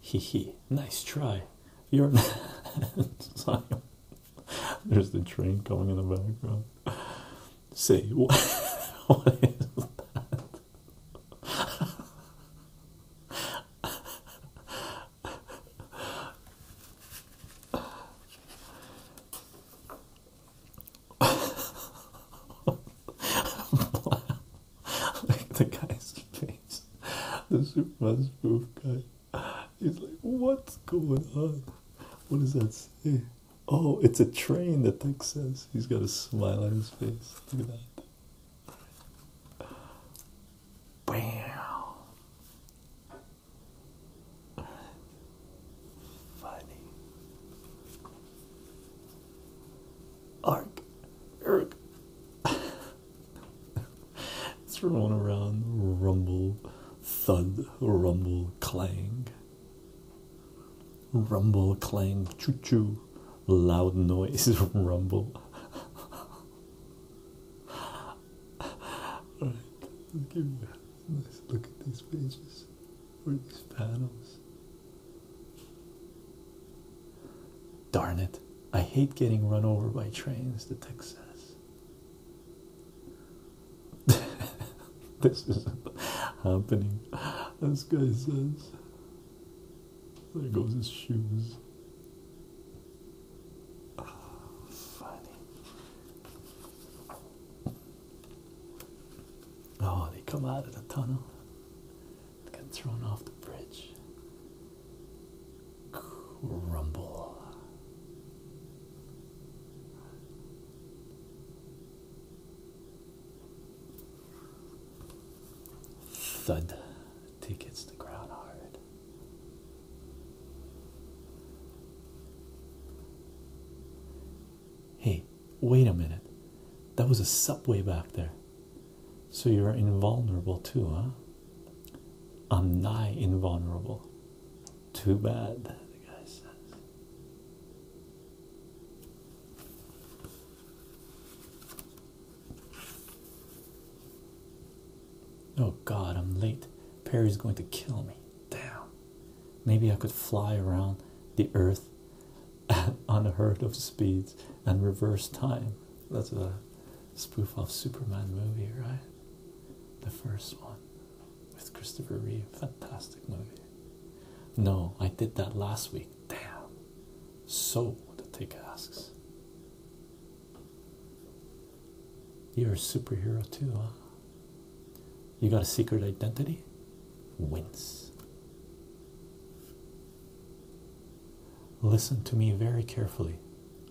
Hee hee, nice try. You're sorry. There's the train coming in the background. See what is that? like the guy's face, the Superman's spoof guy. He's like, what's going on? What does that say? Oh, it's a train that takes sense. He's got a smile on his face. Look at that. Bam. Funny. Ark. Erk. it's rolling around, rumble, thud, rumble, clang, rumble, clang, choo choo, loud noise, rumble. Alright, let's give you a nice look at these pages or these panels. Darn it, I hate getting run over by trains, the Texas. this isn't happening. This guy says, There goes his shoes. funny. Oh, they come out of the tunnel. Got thrown off the bridge. Crumble. Thud. Tick the ground hard. Hey, wait a minute. That was a subway back there. So you're invulnerable too, huh? I'm nigh invulnerable. Too bad, the guy says. Oh god, I'm late. Perry's going to kill me. Damn. Maybe I could fly around the earth at unheard of speeds and reverse time. That's a spoof off Superman movie, right? The first one with Christopher Reeve. Fantastic movie. No, I did that last week. Damn. So, the tick asks. You're a superhero too, huh? You got a secret identity? Wince. Listen to me very carefully.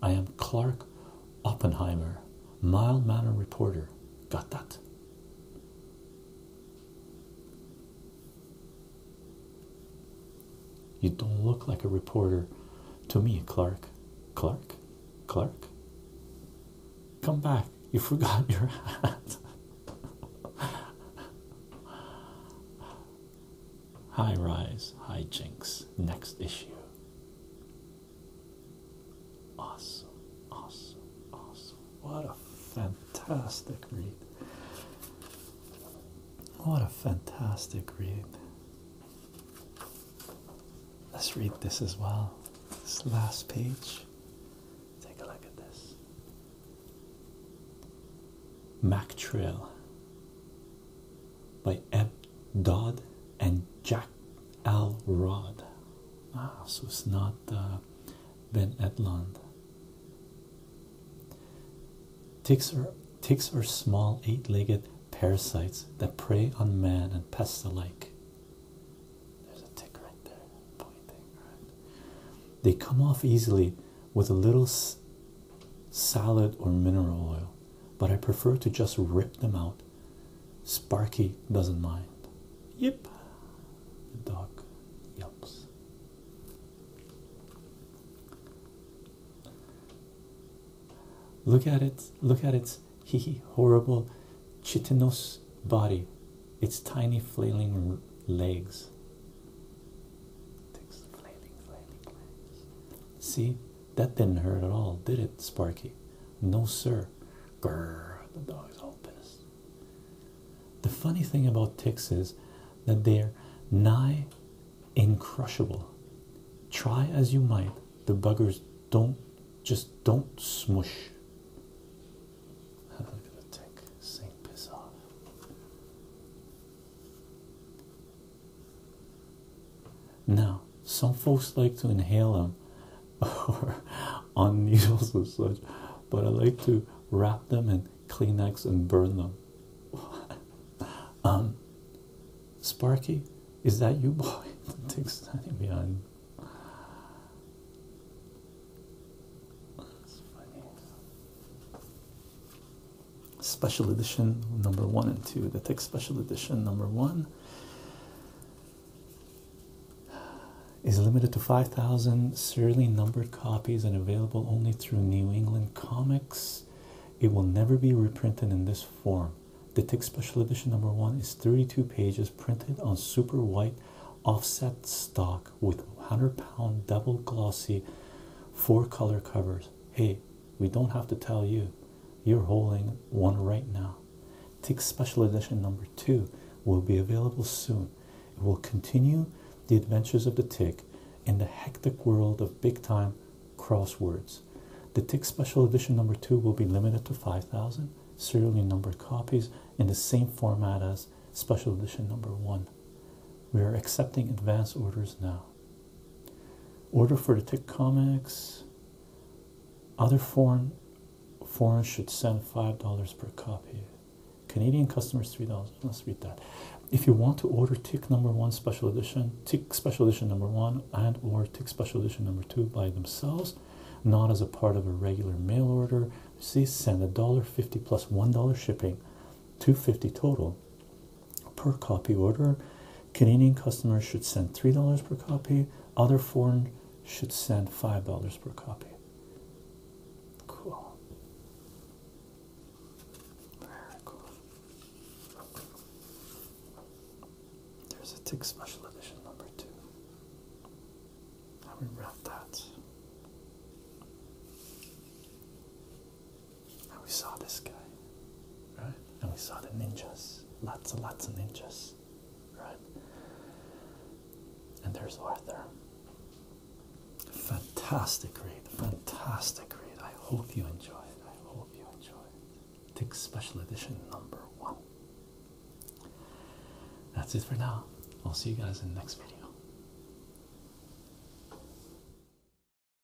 I am Clark Oppenheimer, mild manner reporter. Got that? You don't look like a reporter to me, Clark. Clark? Clark? Come back. You forgot your hat. High rise, high jinks. next issue. Awesome, awesome, awesome. What a fantastic read! What a fantastic read. Let's read this as well. This last page. Take a look at this. Mac Trail by Eb Dodd and Jack Al Rod. Ah, so it's not uh, Ben Edlund. Ticks are, ticks are small eight legged parasites that prey on man and pests alike. There's a tick right there, pointing, right? They come off easily with a little salad or mineral oil, but I prefer to just rip them out. Sparky doesn't mind. Yep, the dog yelps. Look at it, look at its hee hee horrible chitinous body, its tiny flailing legs. See, that didn't hurt at all, did it, Sparky? No, sir. the dog's all pissed. The funny thing about ticks is that they're nigh incrushable. Try as you might, the buggers don't just don't smush. Look at the tick, saying piss off. Now, some folks like to inhale them or on needles and such, but I like to wrap them in Kleenex and burn them. um, Sparky, is that you, boy? The thing standing behind special edition number one and two. The Tech Special Edition number one is limited to 5,000 serially numbered copies and available only through New England Comics. It will never be reprinted in this form. The Tick Special Edition number one is 32 pages printed on super white offset stock with 100 pound double glossy four color covers. Hey, we don't have to tell you. You're holding one right now. Tick Special Edition number two will be available soon. It will continue the adventures of the tick in the hectic world of big time crosswords. The tick special edition number two will be limited to 5,000 serially numbered copies in the same format as special edition number one. We are accepting advance orders now. Order for the Tick Comics. Other foreign foreign should send five dollars per copy. Canadian customers three dollars. Let's read that. If you want to order Tick Number One Special Edition, Tick Special Edition Number One, and or Tick Special Edition Number Two by themselves, not as a part of a regular mail order, see send a dollar fifty plus one dollar shipping, two fifty total, per copy order. Canadian customers should send $3 per copy, other foreign should send $5 per copy. Cool. Very cool. There's a tick special edition number two. How we wrap that. And we saw this guy, right? And we saw the ninjas, lots and lots of ninjas, right? And there's Arthur. Fantastic read, fantastic read. I hope you enjoy it. I hope you enjoy it. Take special edition number one. That's it for now. I'll see you guys in the next video.